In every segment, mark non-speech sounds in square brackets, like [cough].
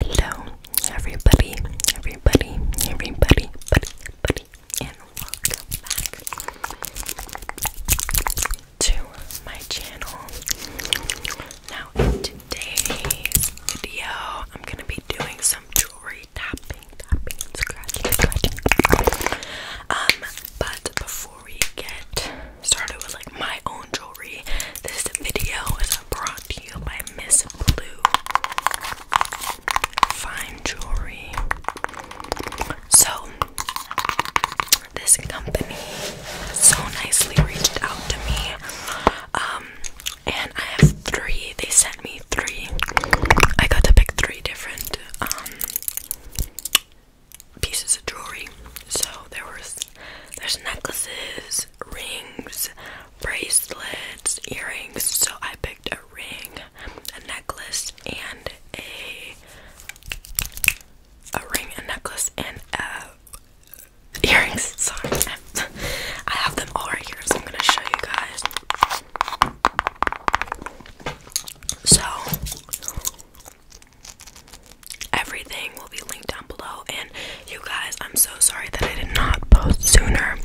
Hello, everybody, everybody, everybody, buddy, and welcome back to my channel. Now, in today's video, I'm gonna be doing some jewelry tapping, tapping, and scratching, scratching. Um, but before we get started with like my own jewelry, this video is a bra brought by Miss Blue Fine Jewelry. So, this company so nicely reached out to me. Um, and I have three. They sent me three. I got to pick three different um, pieces of jewelry. So there was there's necklaces, rings, bracelets, earrings. So I picked a ring, a necklace, and a a ring, a necklace, and earrings. [laughs] Sorry, I have them all right here, so I'm gonna show you guys. So everything will be linked down below. And you guys, I'm so sorry that I did not post sooner.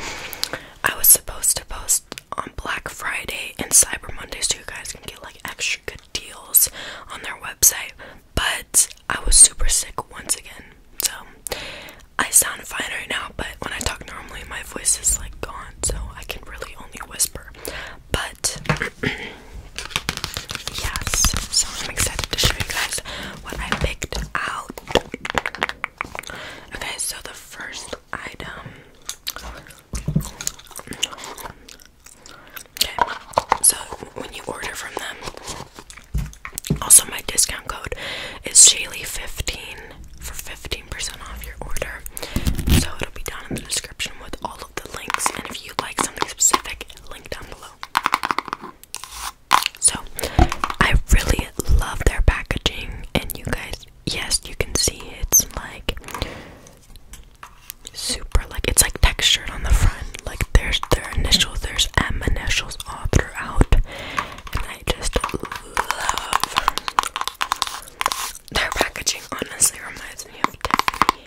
I was supposed to post on Black Friday and Cyber Monday so you guys can get like extra good deals on their website. But I was super sick once again. So I sound fine right now, but when I talk normally, my voice is like gone, so I can really only whisper. But [clears throat] yes so i'm excited to show you guys what i picked out okay so the first item okay so when you order from them also my discount code is shaylee15 for 15% off your order so it'll be down in the description with all of the links and if you like something specific link down below so, I really love their packaging, and you guys, yes, you can see it's like super, like it's like textured on the front. Like there's their initials, there's M initials all throughout, and I just love their packaging. Honestly, reminds me of Tiffany.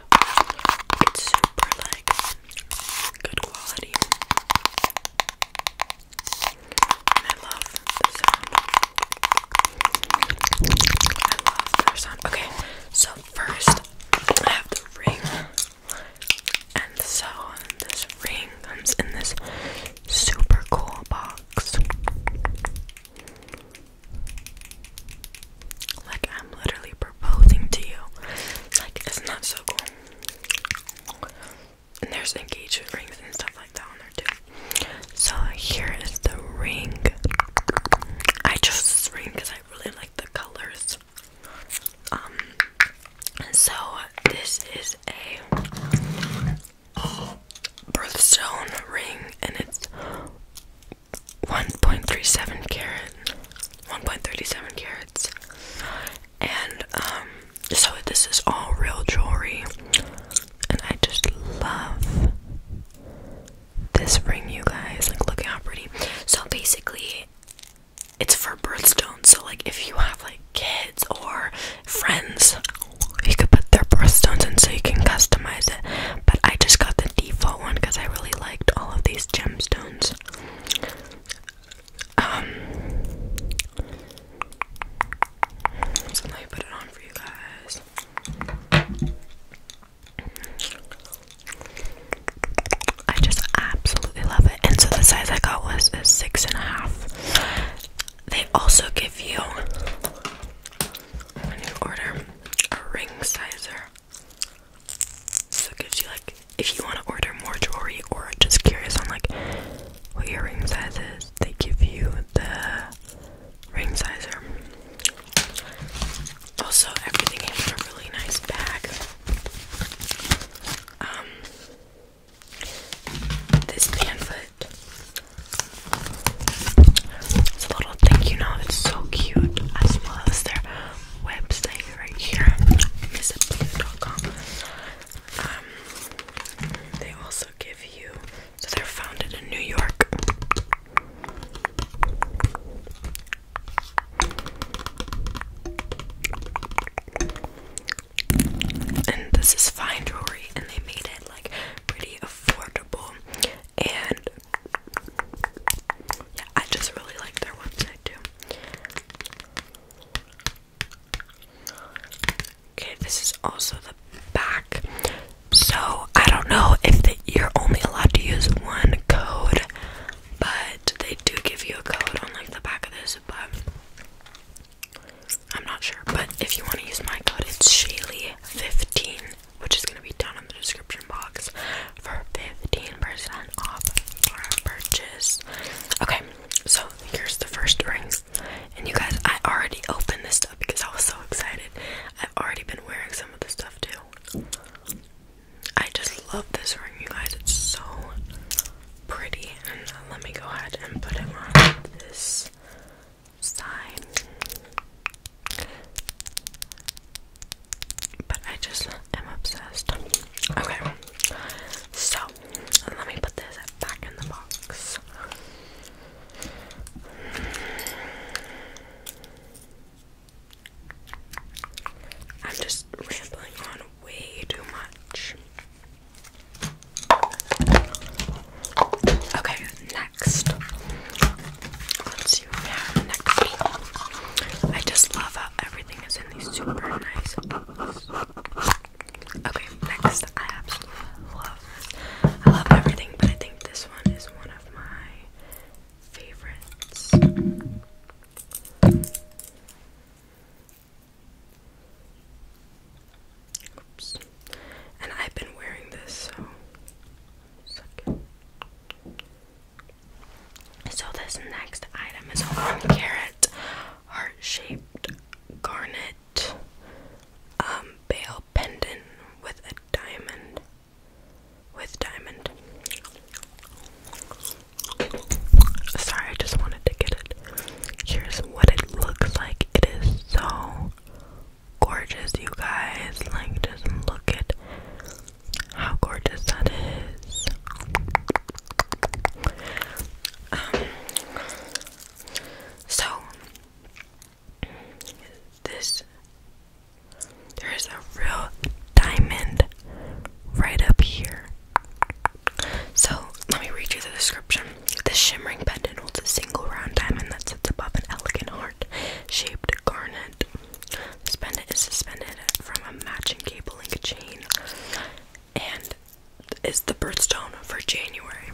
It's super like good quality. And I love I love their sound. Okay, so first I have the ring. And so this ring comes in this super cool box. Like, I'm literally proposing to you. Like, it's not so cool. And there's engagement rings and stuff like that on there, too. So, here is the ring. I chose this ring because I really like the colors. Um, so this is a birthstone ring and it's 1.37 carat, 1.37 carats, and um, so this is all real jewelry, and I just love this ring, you guys. Like, look how pretty. So basically, it's for birthstones. So like, if you have like kids or friends, you could put their birthstones in, so you can customize it. But I just got the default one because I really liked all of these gemstones. Um, let me put it on for you guys. I just absolutely love it. And so the size I got was six and a half. They also give you when you order a ring sizer. So gives you like if you want to order more jewelry or just curious on like what your ring size is, they give you the ring sizer. Also, everything came in a really nice bag. Um, this pamphlet it's a little thank you note. It's so cute, as well as their website right here, visitblue.com. Um, they also give you. So they're founded in New York. And this is fine jewelry, and they made it like pretty affordable and yeah, I just really like their website too. Okay, this is also the back. So I don't know if you're only allowed to use one code, but they do give you a code on like the back of this. But I'm not sure. But if you want to use my code, it's Shaylee fifteen which is gonna be down in the description box for 15% off for a purchase. Okay, so here's the first rings. And you guys, I already opened this stuff because I was so excited. I've already been wearing some of this stuff too. I just love this ring, you guys. It's so pretty. And let me go ahead and put it on this sign. But I just am obsessed. Okay, so let me put this back in the box. I'm just rambling on way too much. Okay, next. next I just love how everything is in these super nice bubbles. Okay, next I absolutely love I love everything, but I think this one is one of my favorites. And I've been wearing this, so. So, this next item is a one heart shaped garnet um, bale pendant with a diamond. With diamond. Sorry, I just wanted to get it. Here's what it looks like. It is so gorgeous, you guys. Like, just look at how gorgeous that is. Um, so, this there is a real diamond right up here. So, let me read you the description. The shimmering pendant holds a single round diamond that sits above an elegant heart-shaped garnet. This pendant is suspended from a matching cable link chain and is the birthstone for January.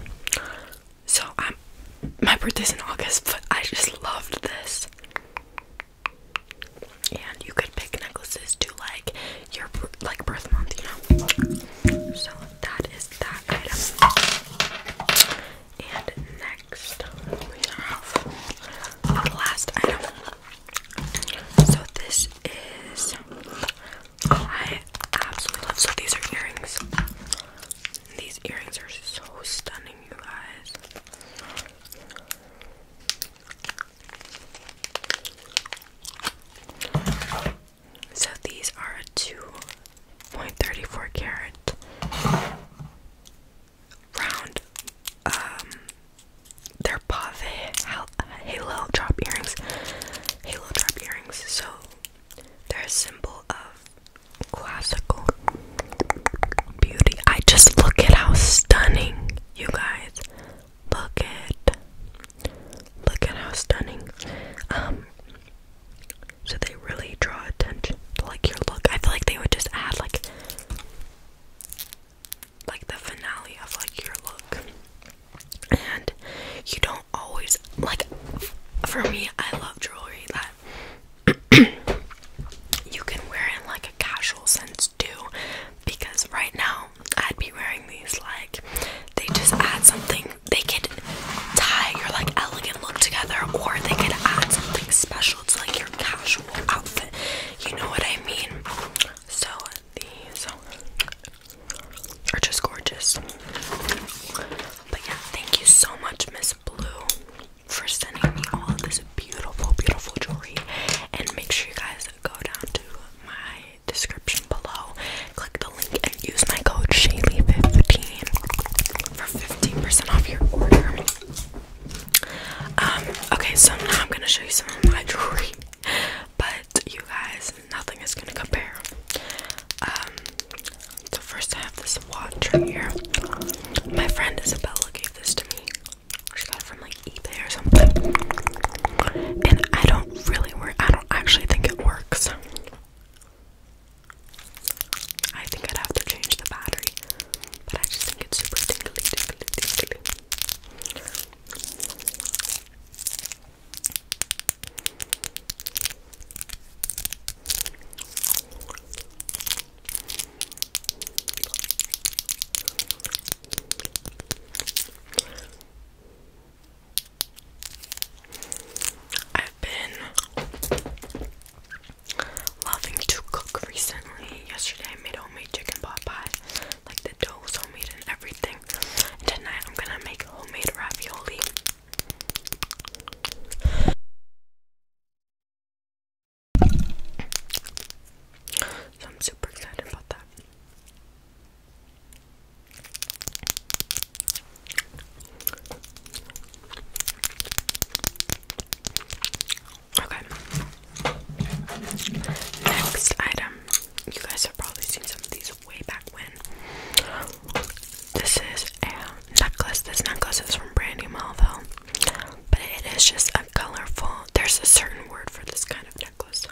So I'm my birthday's in August, but I just loved this. And you could pick necklaces to like your like birth month, you know. So that is that item. And next, we have the last item. So this is I absolutely love. So these are earrings. These earrings are so stunning, you guys. So these are a 2.34 carat round um they're pave halo drop earrings. Halo drop earrings. So they're a symbol of classical beauty. I just look at how stunning you guys look at Look at how stunning. Um, so they really draw attention to like your look. I feel like they would just add like like the finale of like your look. And you don't always like for me I love jewelry that [coughs] you can wear in like a casual sense too because right now I'd be wearing these like they just add something. They could tie your like elegant look together, or they could add something special to like your casual outfit. You know what I mean? So these are just gorgeous. But yeah, thank you so much, Miss Blue, for sending me all of this beautiful, beautiful jewelry. And make sure you guys go down to my description below. Click the link and use my code Shaylee15 for 15% off your order. Um, okay, so now I'm gonna show you some of my [laughs] jewelry. But you guys, nothing is gonna compare. Um, so first I have this watch right here. My friend Isabella gave this to me. She got it from like eBay or something. And I don't really work. I don't actually think it works. I think I'd have to change the battery, I just think it's super tingly, tingly, tingly. I've been loving to cook recently. Yesterday I made homemade chicken pot pie. Like the dough was homemade and everything. tonight I'm gonna make homemade ravioli. So I'm super excited about that. Okay. Next item. You guys have probably seen some of these way back when. This is a necklace. This necklace is from Brandy Melville. But it is just a colorful, there's a certain word for this kind of necklace.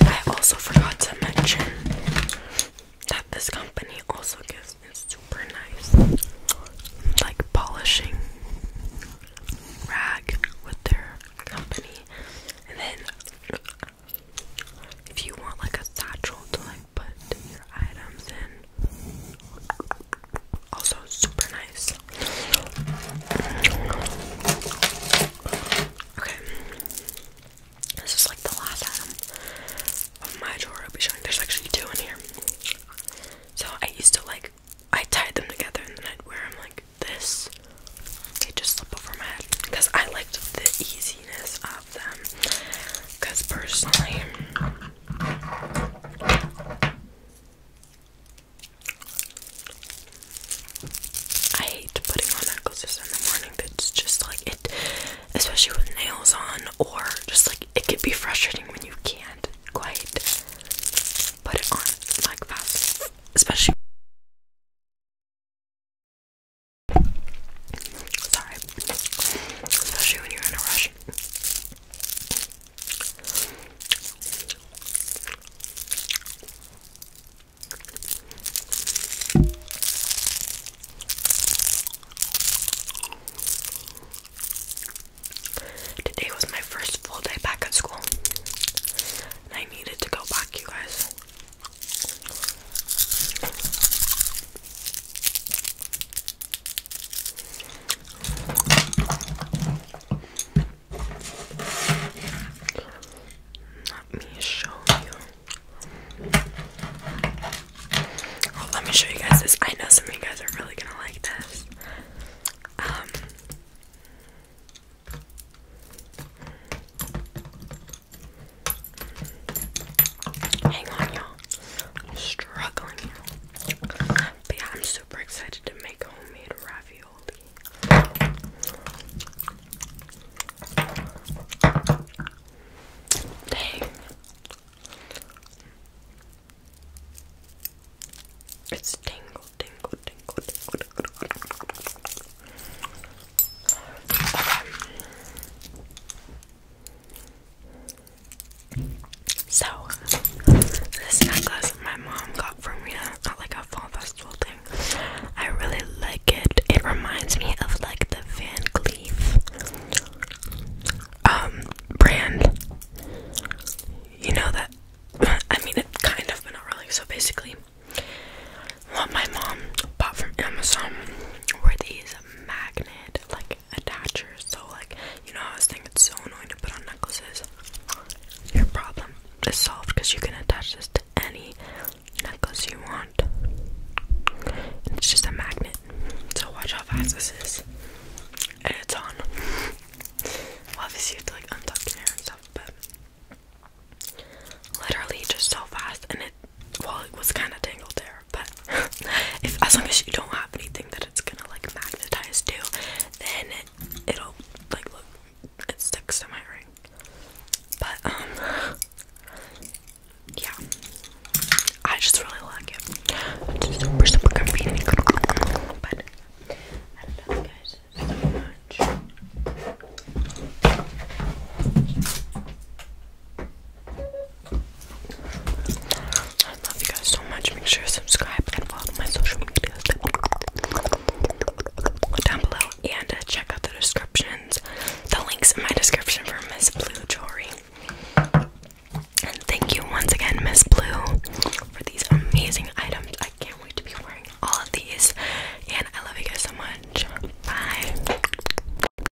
I also forgot to mention that this company also gives me super nice, like, polishing rag with their company. And then, if you want, like, a satchel to, like, put your items in. Also super nice. Okay. This is like the last item of my drawer I'll be showing. There's actually two in here. So I used to like I tied them together and then I'd wear them like this. They just slip over my head. Because I liked the easiness of them. Because personally I hate putting on necklaces in the morning. It's just like it, especially with nails on, or just like it can be frustrating when you can't quite put it on like fast, especially. Sorry, especially when you're in a rush. Today was my first full day back at school, and I needed to go back, you guys. Let me show you. let me show you guys this. I know some of you guys are really gonna like this. Um, Hang on, y'all. struggling but yeah, I'm super excited to make homemade ravioli. Dang. It's tingle, tingle, tingle, tingle, tingle, so, this necklace my mom got for me at like a fall festival thing. I really like it. It reminds me of like the Van Cleef um, brand. You know that [laughs] I mean it kind of but not really. So basically what my mom bought from Amazon were these magnet like like So like you know, I was thinking it's so annoying to put on necklaces. Your problem is solved because you can attach this to any necklace you want. it's just a magnet. So watch how fast this is. And it's on. obviously you have to like untuck hair and stuff, but literally just so fast and it well it was kind of tangled there but [laughs] as long as you don't have anything that it's gonna like magnetize to then it'll like look it sticks to my ring but um yeah I just really like it it's super super convenient but I don't guys so much I love you guys so much. Make sure to subscribe and follow my social media down below and uh, check out the descriptions. The links in my description for Miss Blue Jewelry. And thank you once again, Miss Blue, for these amazing items. I can't wait to be wearing all of these. And I love you guys so much. Bye.